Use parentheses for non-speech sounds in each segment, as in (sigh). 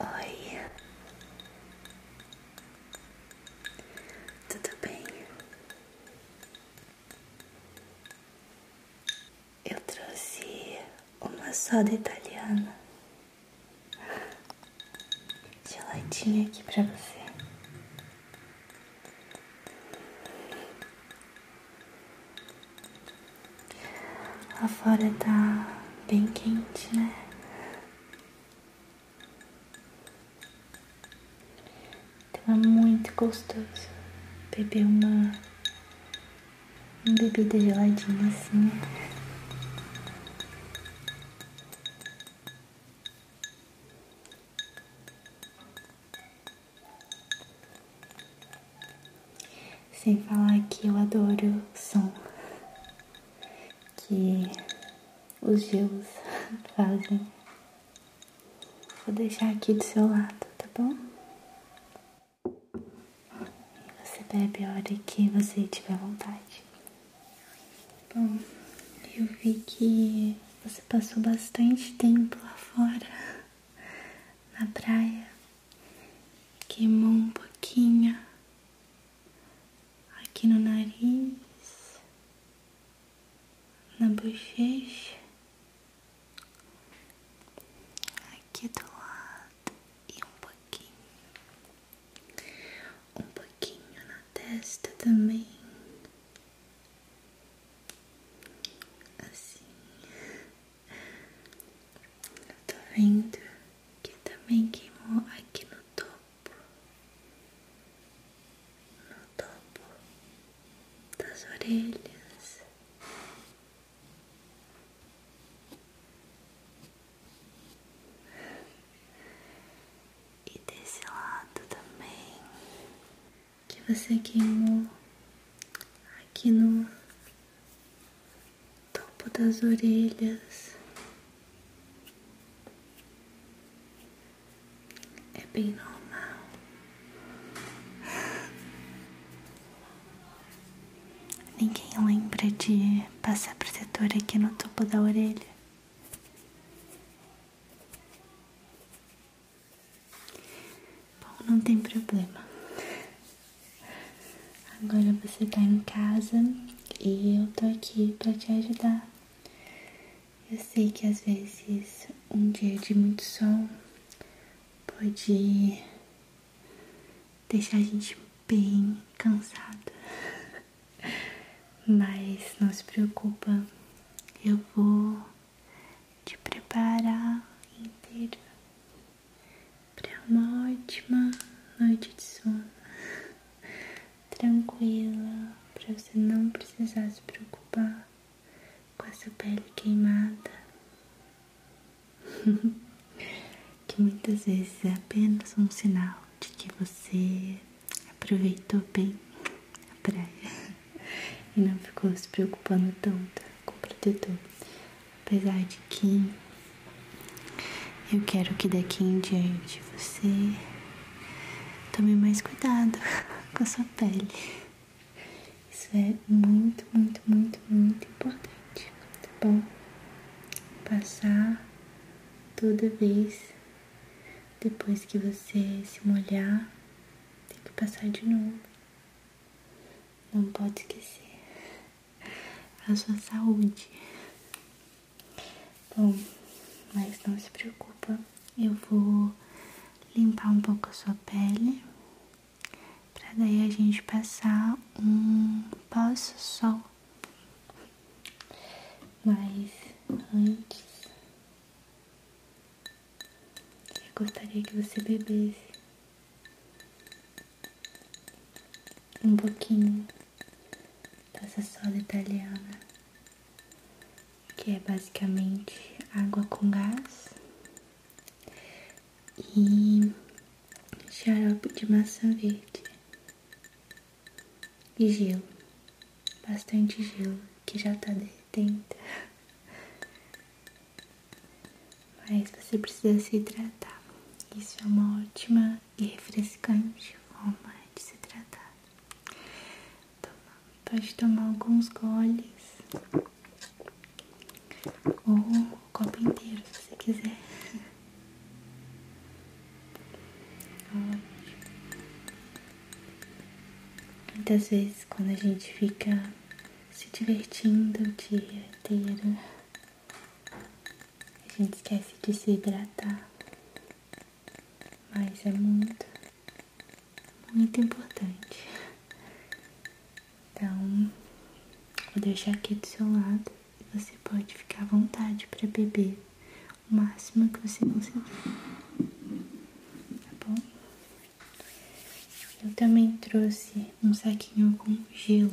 Oi, tudo bem? Eu trouxe uma soda italiana. Geladinha aqui pra você. A fora tá bem quente, né? Tava muito gostoso beber uma, uma bebida geladinha assim. Né? Sem falar que eu adoro o som que os gelos (laughs) fazem. Vou deixar aqui do seu lado, tá bom? Você bebe a hora que você tiver vontade. Bom, eu vi que você passou bastante tempo lá fora, (laughs) na praia, queimou um pouquinho aqui no nariz, na bochecha, aqui do lado e um pouquinho um pouquinho na testa também, assim. Eu tô vendo que também queimou aqui no topo, no topo das orelhas e desse lado também que você queimou aqui no topo das orelhas. É bem normal. Ninguém lembra de passar protetor aqui no topo da orelha. Bom, não tem problema. Agora você tá em casa e eu tô aqui para te ajudar. Eu sei que às vezes um dia de muito sol pode deixar a gente bem cansada. Mas não se preocupa, eu vou te preparar inteiro para uma ótima noite de sono, tranquila, para você não precisar se preocupar com a sua pele queimada. (laughs) que muitas vezes é apenas um sinal de que você aproveitou bem a praia (laughs) e não ficou se preocupando tanto com o protetor. Apesar de que eu quero que daqui em diante você tome mais cuidado (laughs) com a sua pele. Isso é muito, muito, muito, muito importante, tá bom? Passar toda vez depois que você se molhar, tem que passar de novo. Não pode esquecer (laughs) a sua saúde. Bom, mas não se preocupa, eu vou limpar um pouco a sua pele para daí a gente passar um pós-sol mas antes, eu gostaria que você bebesse um pouquinho dessa soda italiana, que é basicamente água com gás e xarope de maçã verde e gelo, bastante gelo que já tá derretendo. Mas você precisa se hidratar. Isso é uma ótima e refrescante forma de se tratar. Toma, pode tomar alguns goles ou um copo inteiro se você quiser. (laughs) Muitas vezes, quando a gente fica se divertindo o dia inteiro, a gente esquece de se hidratar. Mas é muito, muito importante. Então, vou deixar aqui do seu lado você pode ficar à vontade para beber o máximo que você conseguir, tá bom? Eu também trouxe um saquinho com gelo.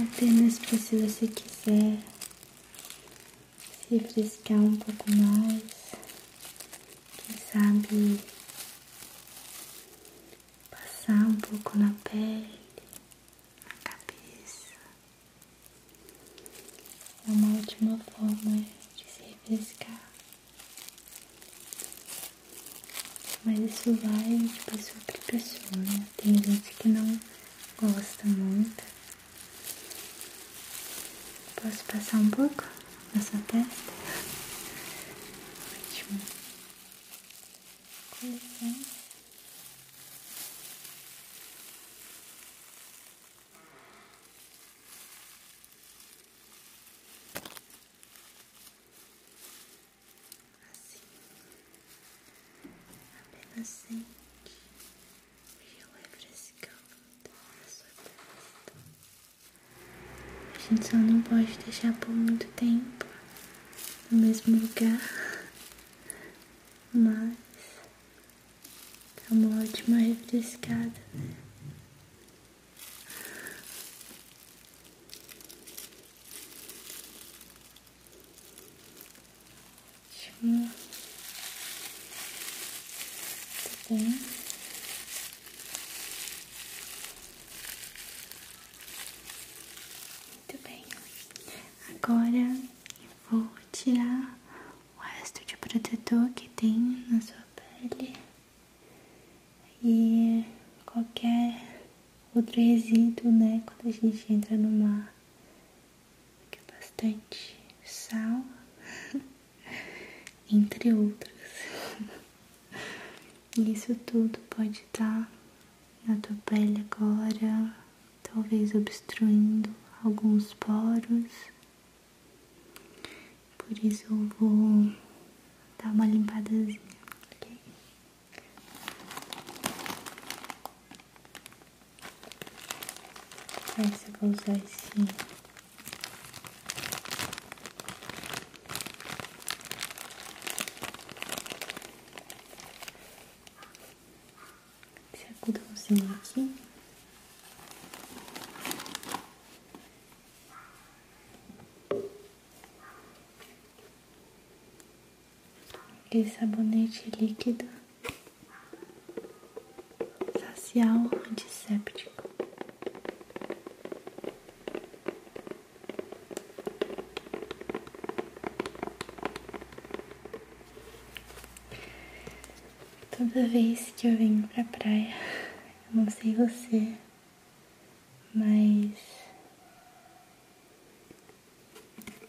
Apenas precisa, se quiser, se frescar um pouco mais. Quem sabe passar um pouco na pele, na cabeça. É uma ótima forma de se refrescar. Mas isso vai de pessoa para pessoa, né? Tem gente que não gosta muito. Posso passar um pouco na sua testa? Ótimo. Com assim, apenas sente o gel refrescando a sua testa. A gente só não pode deixar por muito tempo no mesmo lugar, mas é uma ótima refrescada, né? Muito tá bem. Muito tá bem. Agora vou tirar o resto de protetor que tem na sua pele e qualquer outro resíduo, né? Quando a gente entra no mar, que é bastante sal, (laughs) entre outros. E (laughs) Isso tudo pode estar tá na tua pele agora, talvez obstruindo alguns poros. Por isso eu vou dar uma limpadazinha, Aí você vai usar esse algodãozinho aqui e sabonete líquido facial antisséptico. Toda vez que eu venho pra praia, não sei você, mas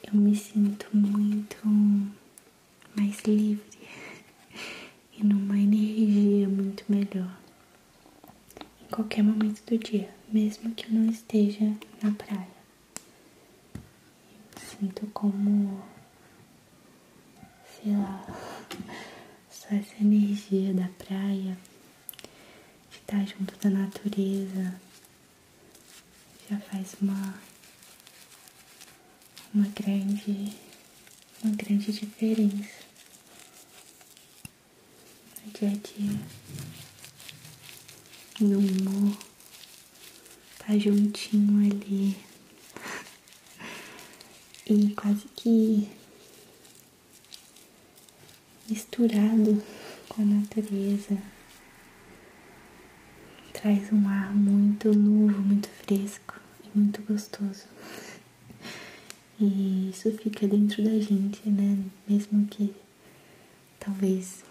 eu me sinto muito mais livre (laughs) e numa energia muito melhor em qualquer momento do dia, mesmo que eu não esteja na praia. Eu sinto como, sei lá, (laughs) só essa energia da praia, de estar junto da natureza, já faz uma uma grande uma grande diferença no dia a dia e o humor tá juntinho ali (laughs) e quase que misturado com a natureza. Traz um ar muito novo, muito fresco e muito gostoso. E isso fica dentro da gente, né? Mesmo que talvez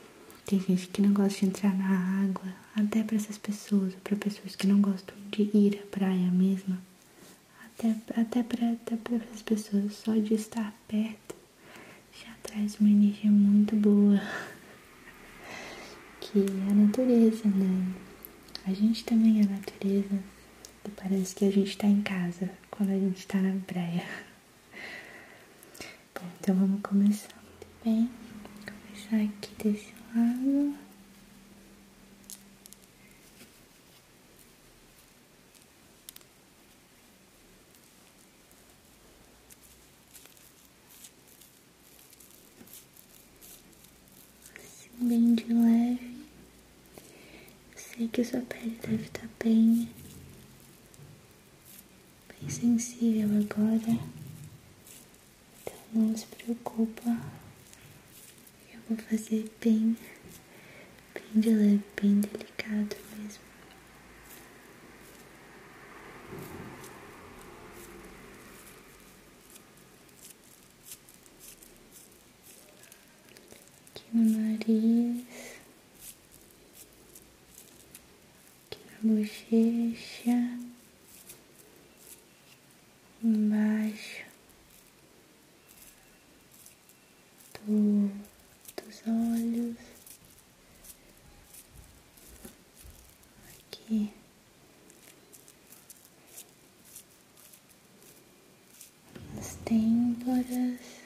tem gente que não gosta de entrar na água, até para essas pessoas, para pessoas que não gostam de ir à praia mesmo, até até para até para essas pessoas só de estar perto já traz uma energia muito boa, que é a natureza, né? A gente também é natureza e parece que a gente tá em casa quando a gente tá na praia. Bom, então vamos começar, muito bem? começar aqui desse lado. Assim, bem de leve. sei que sua pele deve estar tá bem. Bem sensível agora. Então não se preocupa. Eu vou fazer bem bem de leve, bem delicado mesmo. Aqui o nariz, aqui a bochecha, embaixo do, dos olhos, aqui. As têmporas, assim.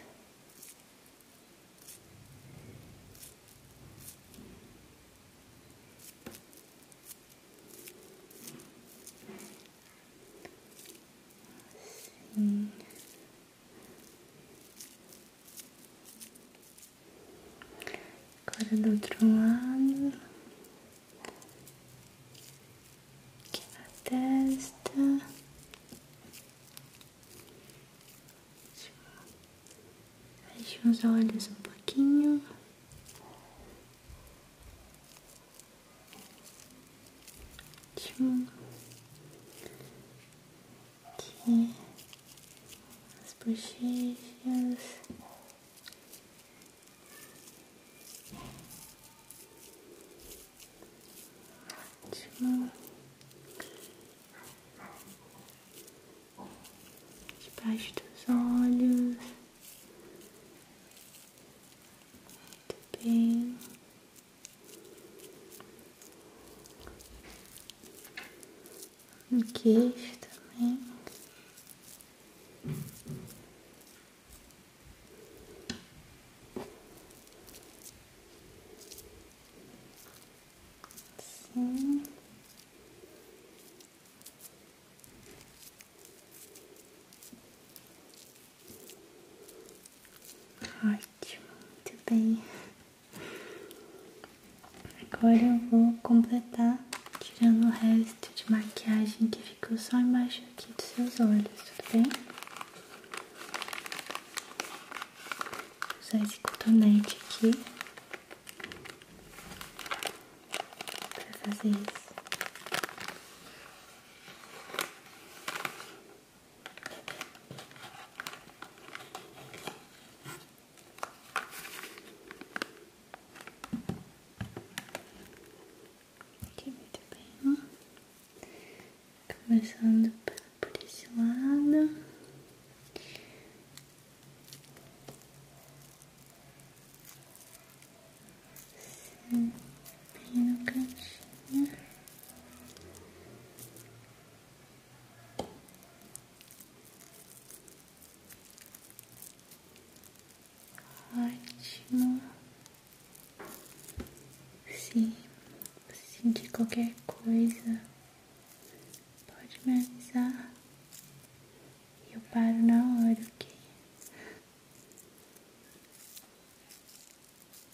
Agora é do outro lado, aqui na testa, fecha os olhos um pouquinho. Ótimo aqui as bochechas. Ótimo. Debaixo dos olhos. Muito bem no queixo também. Assim. Ótimo, muito bem. Agora eu vou completar tirando o resto de maquiagem que ficou só embaixo aqui dos seus olhos, tudo bem? Vou usar esse cotonete aqui pra fazer isso. Aqui, muito bem. Começando pela por esse lado. Sim, bem Ótimo. Se sentir qualquer coisa, pode me avisar. Eu paro na hora, ok?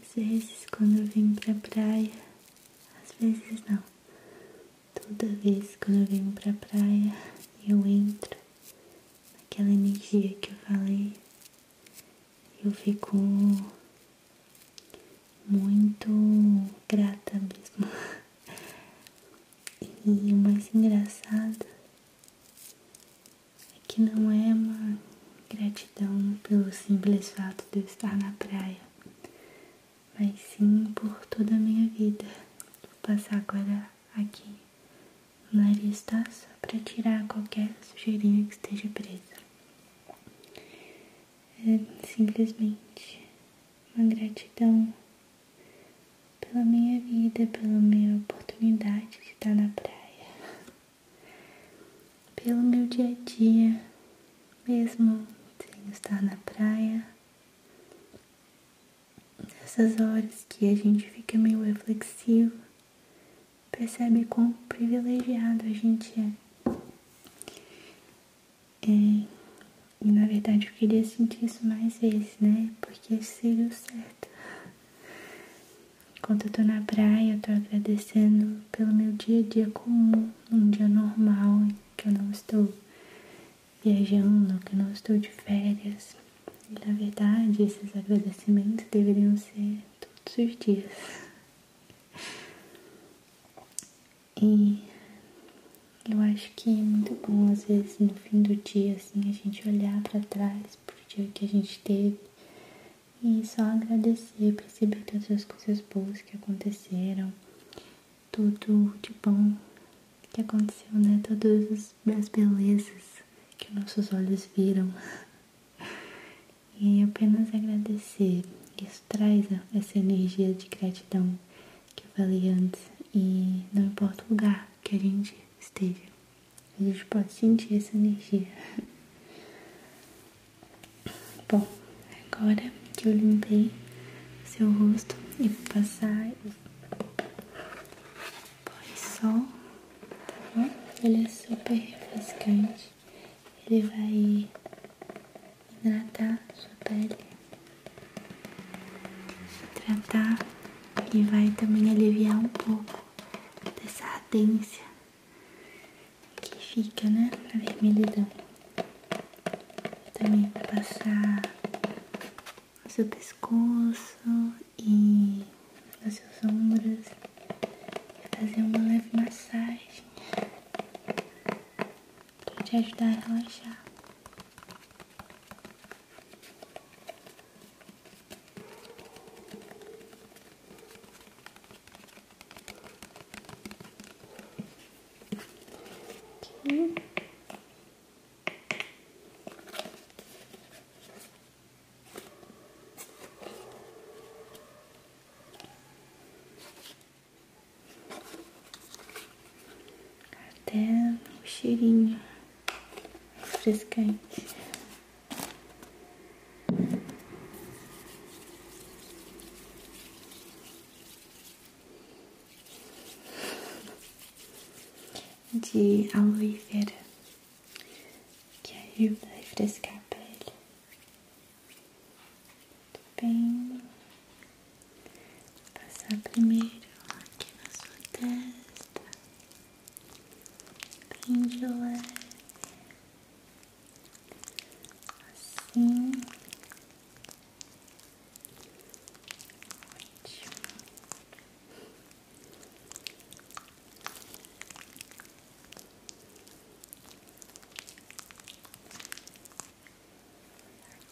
Às vezes, quando eu vim pra praia, às vezes não. Toda vez quando eu venho pra praia, eu entro naquela energia que eu falei. Eu fico muito grata mesmo. (laughs) E o mais engraçado é que não é uma gratidão pelo simples fato de eu estar na praia, mas sim por toda a minha vida. que Vou passar agora aqui no nariz, tá? Só pra tirar qualquer sujeirinha que esteja presa. É simplesmente uma gratidão pela minha vida, pela minha oportunidade de estar na praia pelo meu dia a dia, mesmo sem estar na praia. Nessas horas que a gente fica meio reflexivo, percebe quão privilegiado a gente é. é e na verdade eu queria sentir isso mais vezes, né? Porque seria o certo. Enquanto eu tô na praia, eu tô agradecendo pelo meu dia a dia comum, um dia normal, que eu não estou viajando, que eu não estou de férias. E na verdade, esses agradecimentos deveriam ser todos os dias. (laughs) E eu acho que é muito bom, às vezes, no fim do dia, assim, a gente olhar para trás pro dia que a gente teve e só agradecer, perceber todas as coisas boas que aconteceram, tudo de bom que aconteceu, né? Todas as belezas que nossos olhos viram. (laughs) E apenas agradecer. Isso traz essa energia de gratidão que eu falei antes. E não importa o lugar que a gente esteja, a gente pode sentir essa energia. (laughs) Bom, agora que eu limpei seu rosto e vou passar pós sol, tá bom? Ele é super refrescante, ele vai hidratar sua pele, hidratar e vai também aliviar um pouco dessa ardência que fica, né? A vermelhidão. Também pra passar no seu pescoço e nas suas ombros. Fazer uma leve massagem pra te ajudar a relaxar. Aqui. Até o cheirinho refrescante de aloe vera que ajuda a refrescar a pele. bem, passar primeiro aqui na sua testa, bem de leve assim. Ótimo.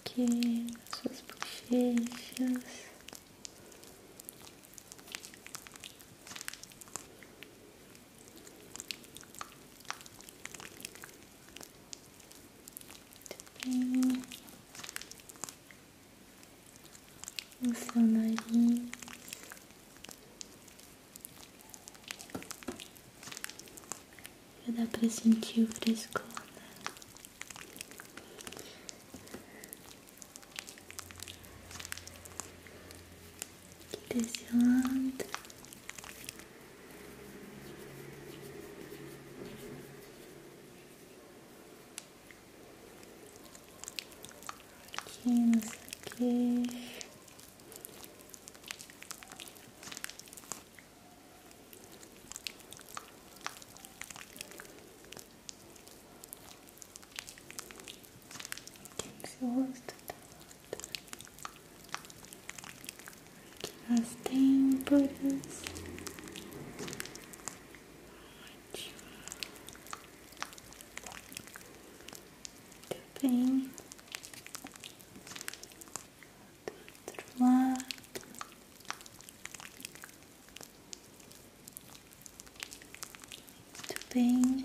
Aqui, suas bochechas. Muito bem. O seu nariz. dá para sentir o frescor. Né? aqui desse lado. Aqui no seu queixo. Aqui no que nas têmporas ótimo muito bem do outro lado muito bem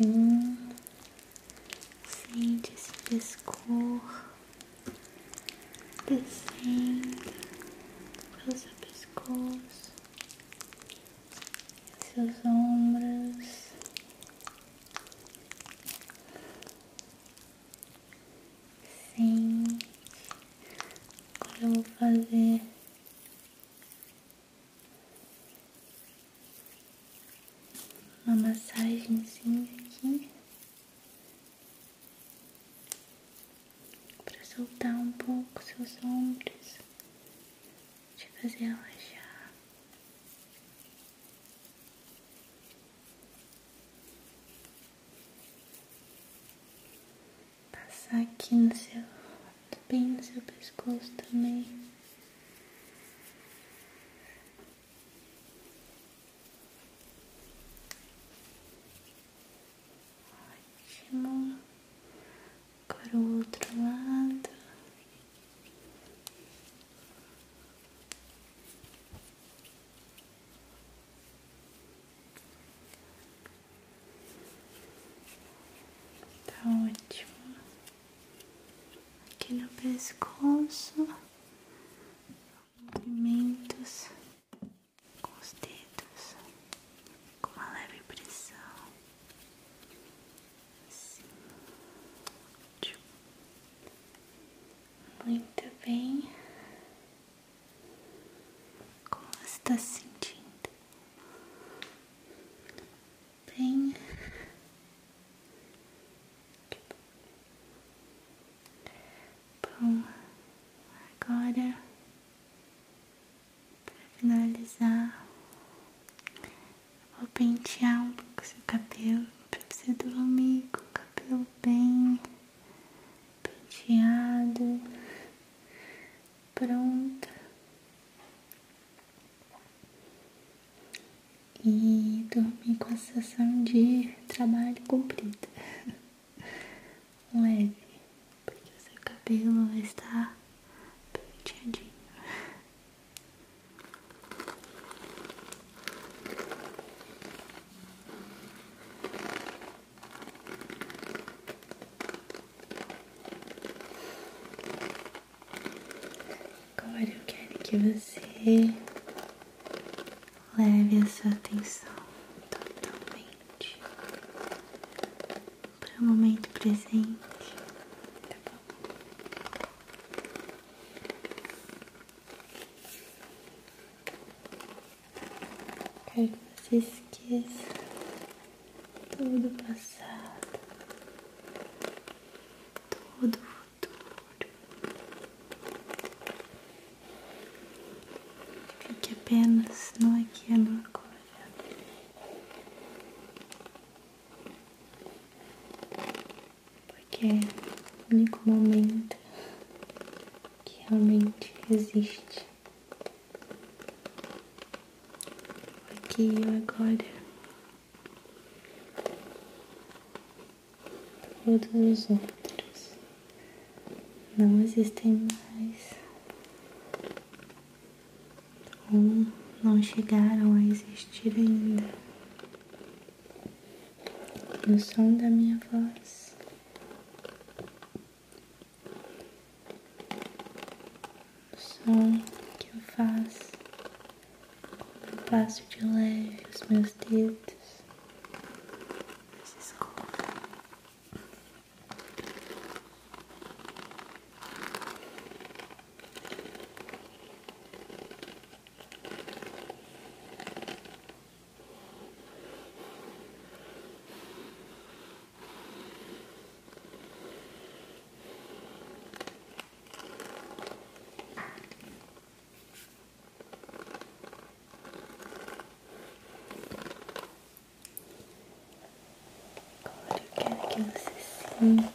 Sim, sente esse pescoço descendo pelo seu pescoço, seus ombros. Sim, eu vou fazer uma massagenzinha aqui para soltar um pouco seus ombros, te fazer relaxar. Passar aqui no seu, bem no seu pescoço também. Ótimo. Agora o outro lado. Tá ótimo. Aqui no pescoço, movimentos com os dedos, com uma leve pressão. Muito bem. Como está sentindo? Bem. Bom, agora para finalizar, Vou pentear um pouco seu cabelo para você dormir com o cabelo bem penteado, pronto. E dormir com a sensação de trabalho cumprido. (laughs) Leve, porque o seu cabelo vai estar penteadinho. Agora eu quero que você leve a sua atenção totalmente para o momento presente, tá Quero que você esqueça todo o passado, todo o futuro. Fique apenas no aqui e no agora. Porque é o único momento que realmente existe. Aqui agora. Todos os outros não existem mais ou não chegaram a existir ainda. No som da minha voz, o som que eu faço quando passo de leve os meus dedos. se Agora eu quero que você sinta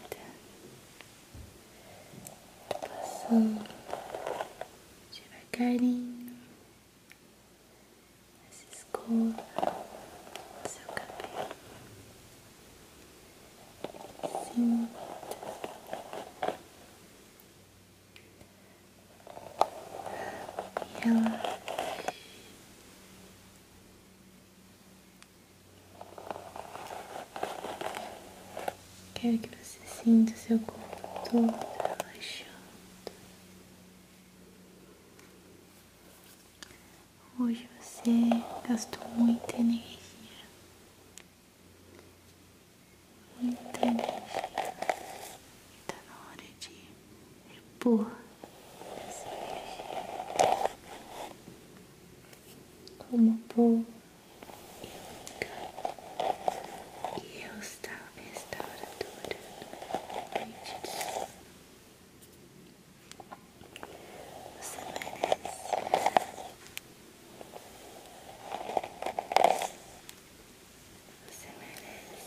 passando devagarinho essa escova seu cabelo. Sinta Quero que você sinta seu corpo todo relaxando. Hoje você gastou muita energia. Muita energia. Tá na hora de repor essa energia com uma boa e eu estava restauradora noite de sono. Você merece. Você merece.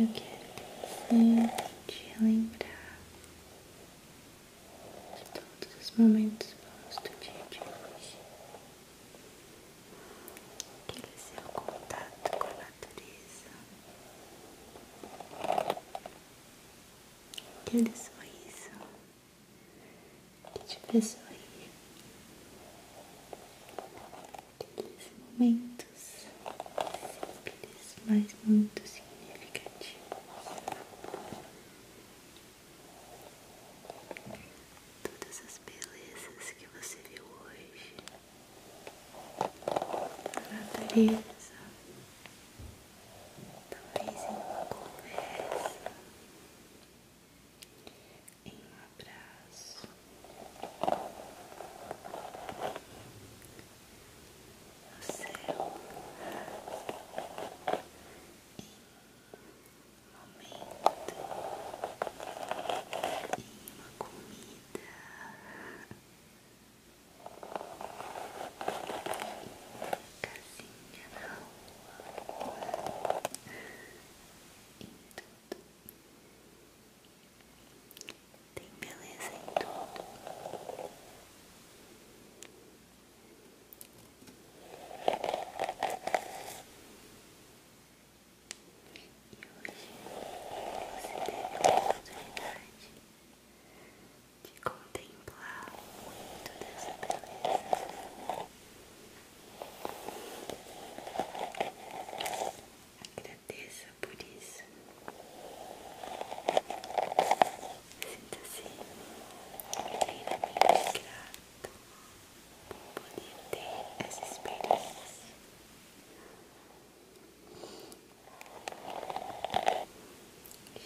Eu quero te lembrar de todos os momentos bons do dia de hoje. Aquele seu contato com a natureza. Aquele sorriso te de pessoinha aqueles momentos simples, mas muito significativos. Todas as belezas que você viu hoje, a natureza, talvez em uma conversa em um abraço no céu em um momento em uma comida casinha na rua tem beleza em tudo. E hoje você teve a oportunidade de contemplar muito dessa beleza Agradeça por isso. Sinta-se assim, inteiramente grato por poder ter essa experiência.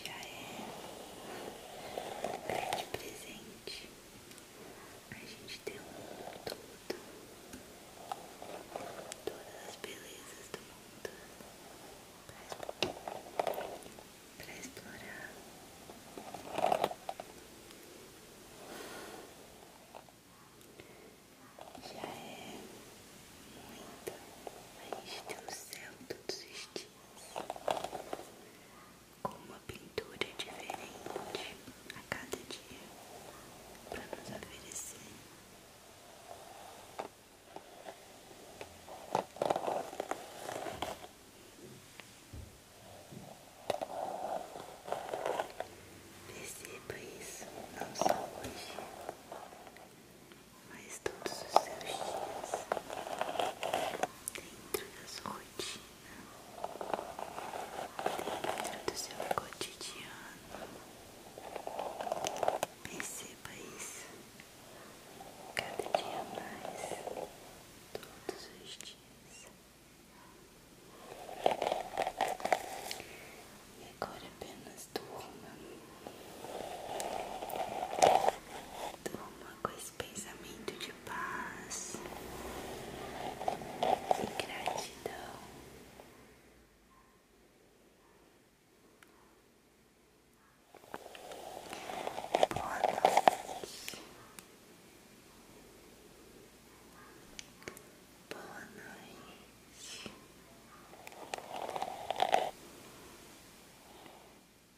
Já é um grande presente a gente tem um mundo todo, todas as belezas do mundo para explorar. Já é muita, a gente tem o céu todos os dias com uma pintura diferente a cada dia para nos oferecer. Perceba isso não só hoje, mas todos os seus dias dentro das sua dentro do seu cotidiano. Perceba isso cada dia mais, todos os dias. E agora apenas durma. Durma com esse pensamento de de paz e gratidão. Boa noite. Boa noite.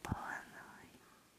Boa noite.